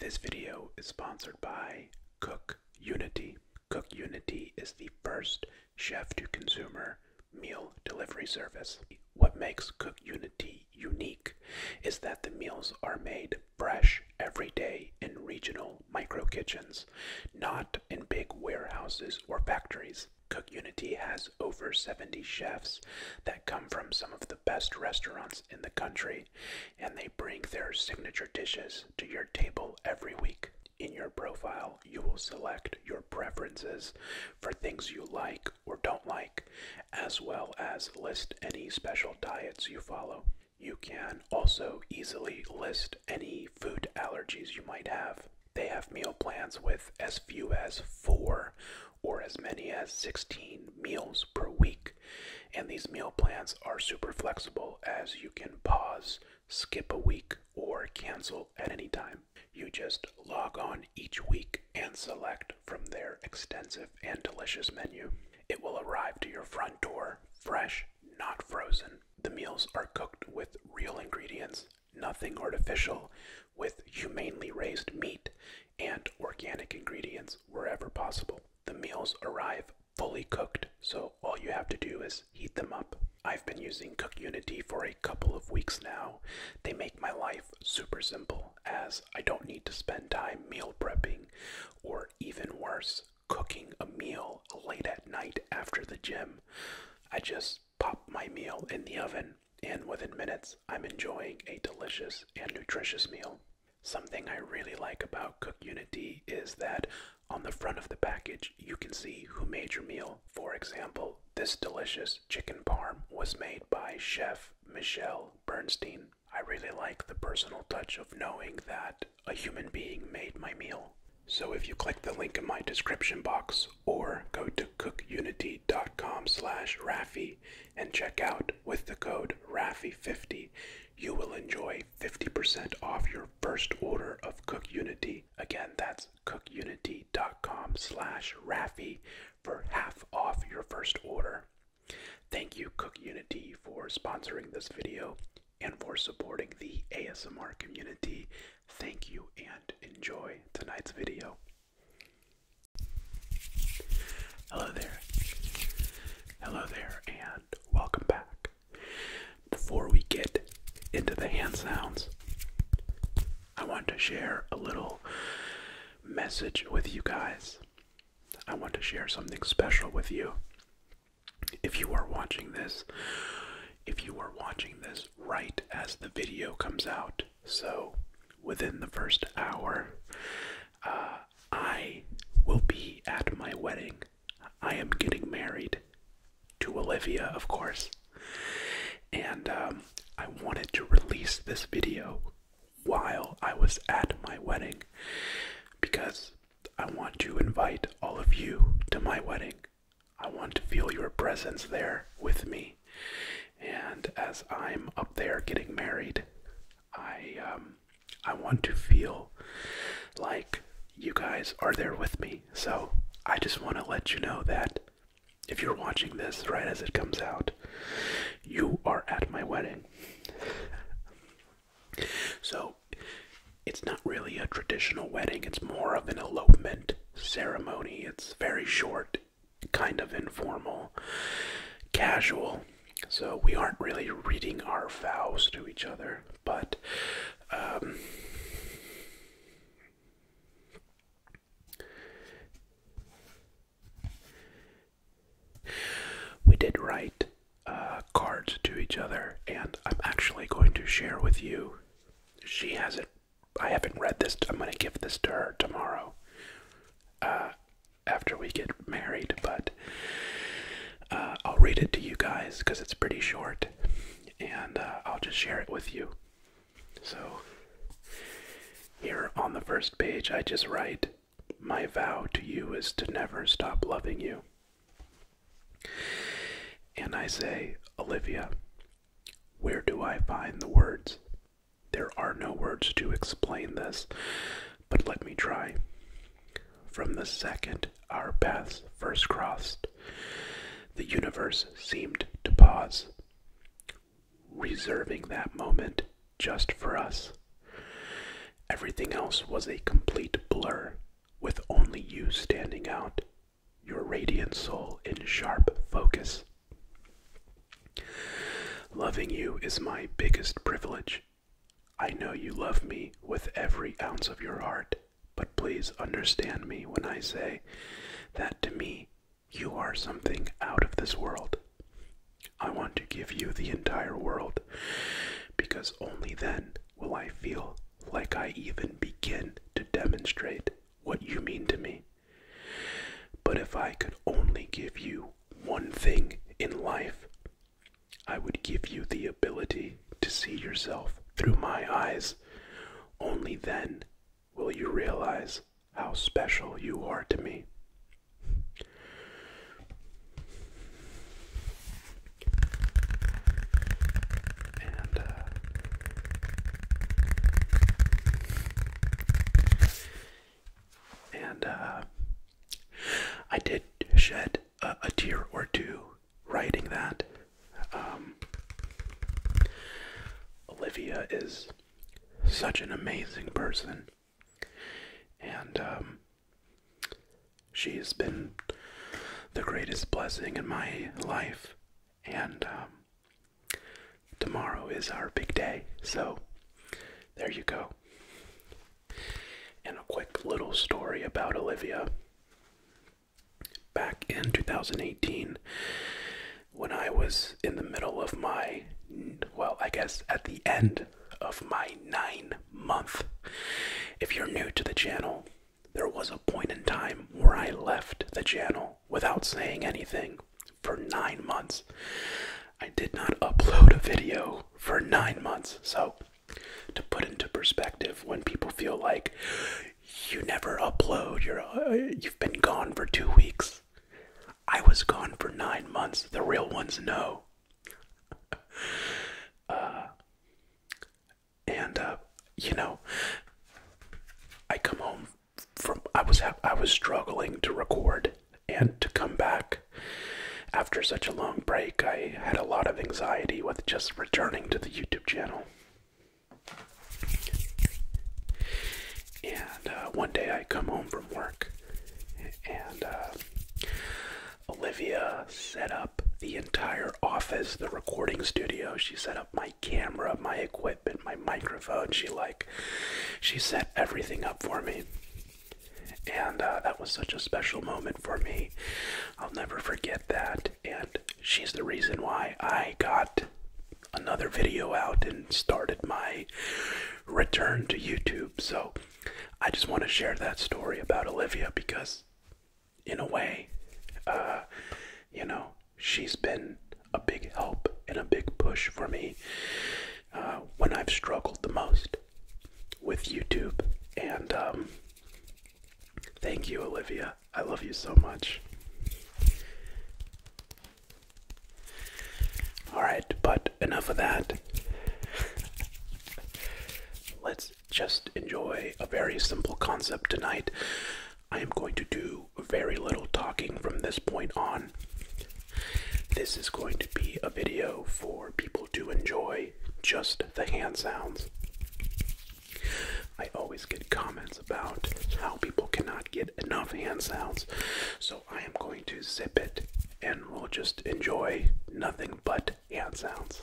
This video is sponsored by Cook Unity. Cook Unity is the first chef to consumer meal delivery service. What makes Cook Unity unique is that the meals are made fresh every day in regional micro kitchens, not in big warehouses or factories. Cook Unity has over 70 chefs that come from some of the best restaurants in the country, and they bring their signature dishes to your table every week. In your profile, you will select your preferences for things you like or don't like, as well as list any special diets you follow. You can also easily list any food allergies you might have. They have meal plans with as few as four or as many as 16 meals per week. And these meal plans are super flexible as you can pause, skip a week, or cancel at any time. You just log on each week and select from their extensive and delicious menu. It will arrive to your front door fresh, not frozen. The meals are cooked with real ingredients, nothing artificial, with humanely raised meat and organic ingredients wherever possible. The meals arrive fully cooked, so all you have to do is heat them up. I've been using Cook Unity for a couple of weeks now. They make my life super simple as I don't need to spend time meal prepping or even worse, cooking a meal late at night after the gym. I just pop my meal in the oven and within minutes I'm enjoying a delicious and nutritious meal. Something I really like about CookUnity is that on the front of the package you can see who made your meal. For example, this delicious chicken parm was made by Chef Michelle Bernstein. I really like the personal touch of knowing that a human being made my meal. So if you click the link in my description box or go to cookunity.com slash Rafi, and check out with the code RAFI50. You will enjoy 50% off your first order of Cook Unity. Again, that's cookunity.com slash RAFI for half off your first order. Thank you, Cook Unity, for sponsoring this video and for supporting the ASMR community. Thank you and enjoy tonight's video. Hello there. Hello there, and welcome back. Before we get into the hand sounds, I want to share a little message with you guys. I want to share something special with you. If you are watching this, if you are watching this right as the video comes out, so within the first hour, uh, I will be at my wedding. I am getting married to Olivia, of course. And um, I wanted to release this video while I was at my wedding because I want to invite all of you to my wedding. I want to feel your presence there with me. And as I'm up there getting married, I um, I want to feel like you guys are there with me. So I just want to let you know that if you're watching this right as it comes out, you are at my wedding. so it's not really a traditional wedding, it's more of an elopement ceremony. It's very short, kind of informal, casual. So we aren't really reading our vows to each other, but um, we did write uh, cards to each other, and I'm actually going to share with you. She hasn't. I haven't read this. I'm going to give this to her tomorrow. Uh, after we get married, but uh, I'll read it to you guys because it's pretty short and uh, I'll just share it with you. So, here on the first page, I just write, My vow to you is to never stop loving you. And I say, Olivia, where do I find the words there are no words to explain this, but let me try. From the second our paths first crossed, the universe seemed to pause, reserving that moment just for us. Everything else was a complete blur, with only you standing out, your radiant soul in sharp focus. Loving you is my biggest privilege. I know you love me with every ounce of your heart, but please understand me when I say that to me, you are something out of this world. I want to give you the entire world because only then will I feel like I even begin to demonstrate what you mean to me. But if I could only give you one thing in life, I would give you the ability to see yourself through my eyes. Only then will you realize how special you are to me. Uh, and uh, I did shed a, tear or two writing that. Um, Olivia is such an amazing person, and um, she's been the greatest blessing in my life. And um, Tomorrow is our big day, so there you go. And a quick little story about Olivia. Back in 2018, when I was in the middle of my, well, I guess at the end of my nine month, if you're new to the channel, there was a point in time where I left the channel without saying anything for nine months. I did not upload a video for nine months. So, to put into perspective, when people feel like you never upload, you're, uh, you've been gone for two weeks, I was gone for nine months. The real ones know. Uh, and, uh, you know, I come home from I was I was struggling to record and to come back after such a long break. I had a lot of anxiety with just returning to the YouTube channel. And uh, one day I come home from work, and uh, Olivia set up the entire office, the recording studio. She set up my camera, my equipment, my microphone. She like she set everything up for me. And uh, that was such a special moment for me. I'll never forget that. And she's the reason why I got another video out and started my return to YouTube. So I just want to share that story about Olivia because, in a way, uh, you know, she's been a big help and a big push for me uh, when I've struggled the most with YouTube. And um, thank you, Olivia. I love you so much. Alright, but enough of that. Let's just enjoy a very simple concept tonight. I am going to do very little talking from this point on. This is going to be a video for people to enjoy just the hand sounds. I always get comments about how people cannot get enough hand sounds, so I am going to zip it and we'll just enjoy nothing but hand sounds.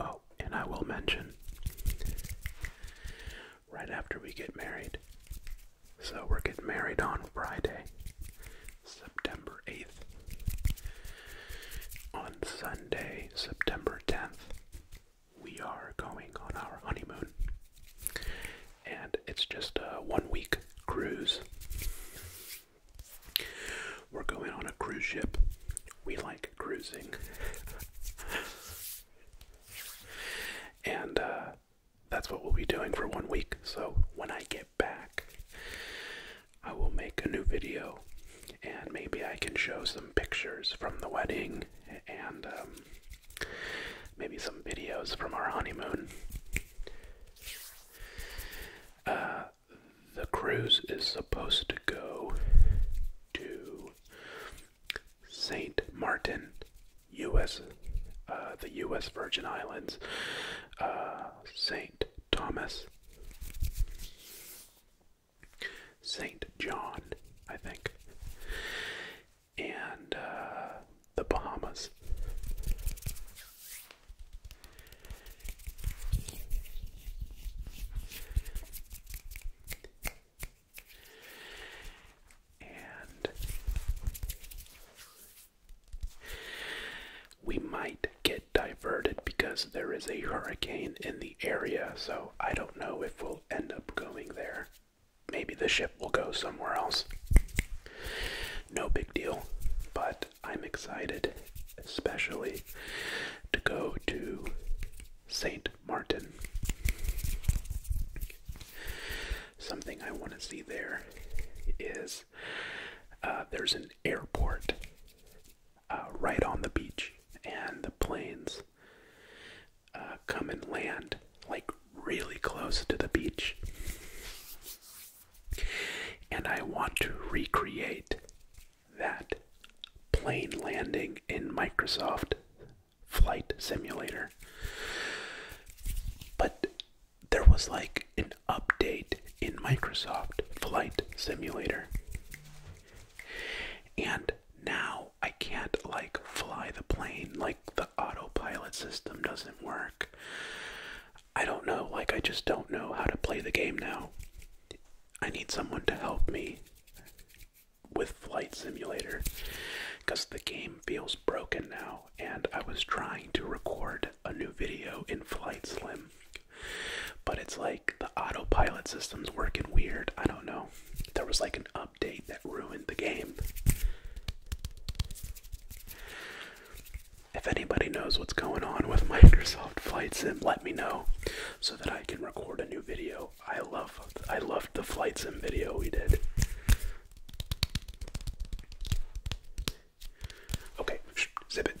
Oh, and I will mention right after we get married. So we're getting married on Friday, September 8th. On Sunday, September 10th, we are going on our honeymoon. And it's just a one week cruise. We're going on a cruise ship. We like cruising. and uh, that's what we'll be doing for one week. So when I get back, I will make a new video and maybe I can show some pictures from the wedding and um, maybe some videos from our honeymoon. Uh, the cruise is supposed to go to St. Martin, U.S., uh, the U.S. Virgin Islands, uh, St. Thomas, St. John, I think, and uh, the Bahamas. And we might get diverted because there is a hurricane in the area, so I don't know if we'll end up going there. Maybe the ship will go somewhere else. No big deal, but I'm excited, especially to go to St. Martin. Something I want to see there is uh, there's an airport uh, right on the beach, and the planes uh, come and land like really close to the beach. And I want to recreate that plane landing in Microsoft Flight Simulator. But there was like an update in Microsoft Flight Simulator. And now I can't like fly the plane, like the autopilot system doesn't work. I don't know, like, I just don't know how to play the game now. I need someone to help me with Flight Simulator because the game feels broken now, and I was trying to record a new video in Flight Sim but it's like the autopilot system's working weird. I don't know. There was like an update that ruined the game. If anybody knows what's going on with Microsoft Flight Sim, let me know so that I can record a new video. I love I loved the Flight Sim video we did. Okay, Shh, zip it.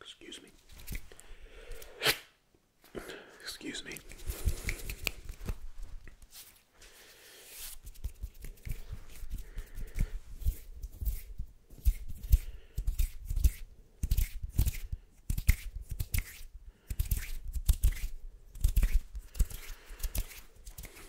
Excuse me. Excuse me.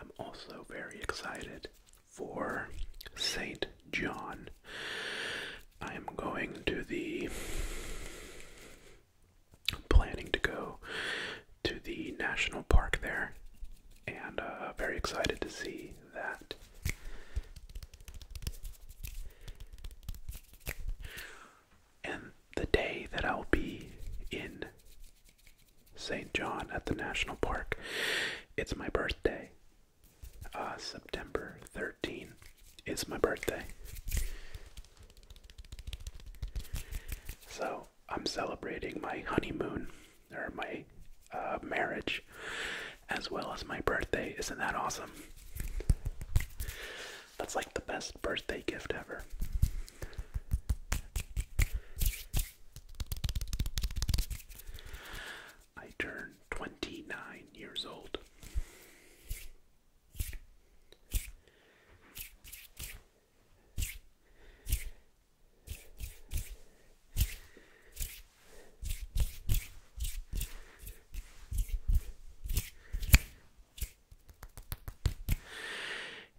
I'm also very excited for St. John. I am going to the. planning to go to the national park there and uh, very excited to see that and the day that I'll be in St. John at the National Park, it's my birthday. Uh, September 13 is my birthday. So I'm celebrating my honeymoon or my uh, marriage as well as my birthday. Isn't that awesome? That's like the best birthday gift ever. I turned 29 years old.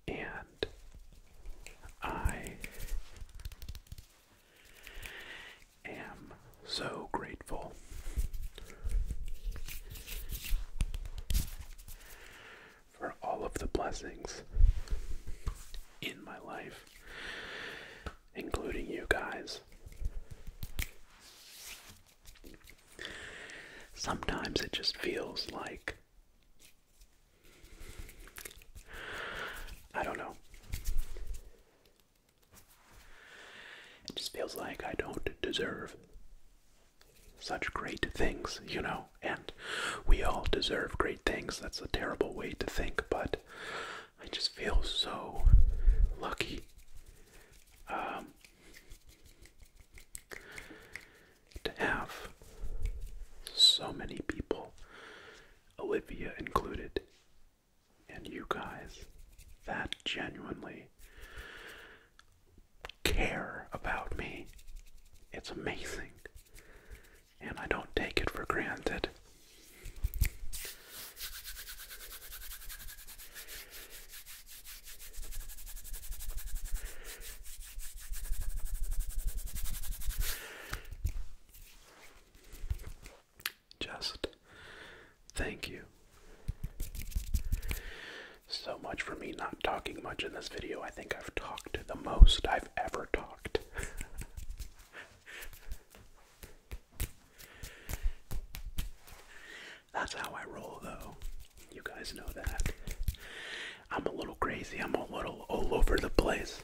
And I am so grateful for all of the blessings in my life, including you guys. Sometimes it just feels like I don't know. It just feels like I don't deserve such great things, you know? And we all deserve great things. That's a terrible way to think, but I just feel so lucky. Um, to have so many people, Olivia included, and you guys that genuinely care about me, it's amazing. And I don't take it for granted. Just thank you so much for me not talking much in this video. I think I've talked the most I've ever talked. That's how I roll, though. You guys know that. I'm a little crazy. I'm a little all over the place.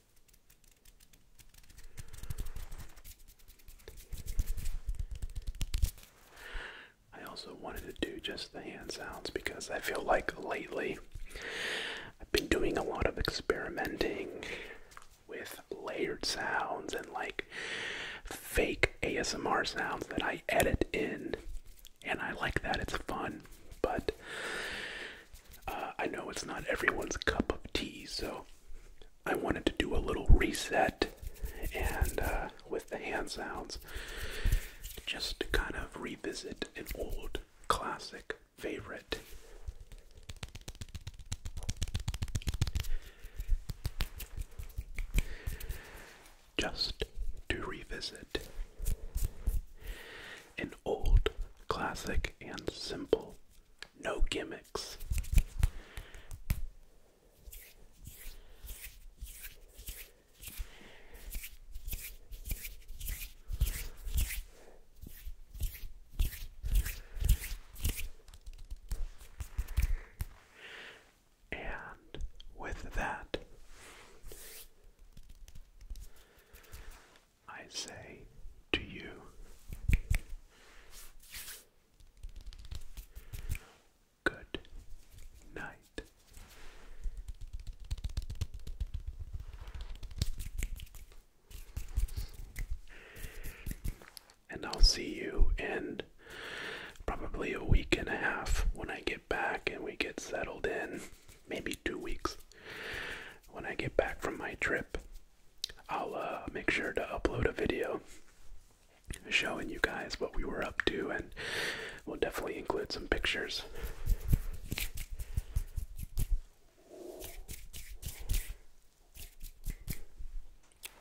I also wanted to do just the hand sounds because I feel like lately I've been doing a lot of experimenting with layered sounds and like fake ASMR sounds that I edit in. And I like that, it's fun. But uh, I know it's not everyone's cup of tea, so I wanted to do a little reset and uh, with the hand sounds just to kind of revisit an old classic favorite. Just to revisit an old classic and simple, no gimmicks. And with that, I say to you. Good night. And I'll see you in probably a week and a half when I get back and we get settled in maybe two weeks. When I get back from my trip, I'll uh, make sure to upload a video showing you guys what we were up to, and we'll definitely include some pictures.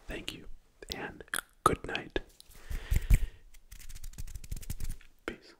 Thank you, and good night. Peace.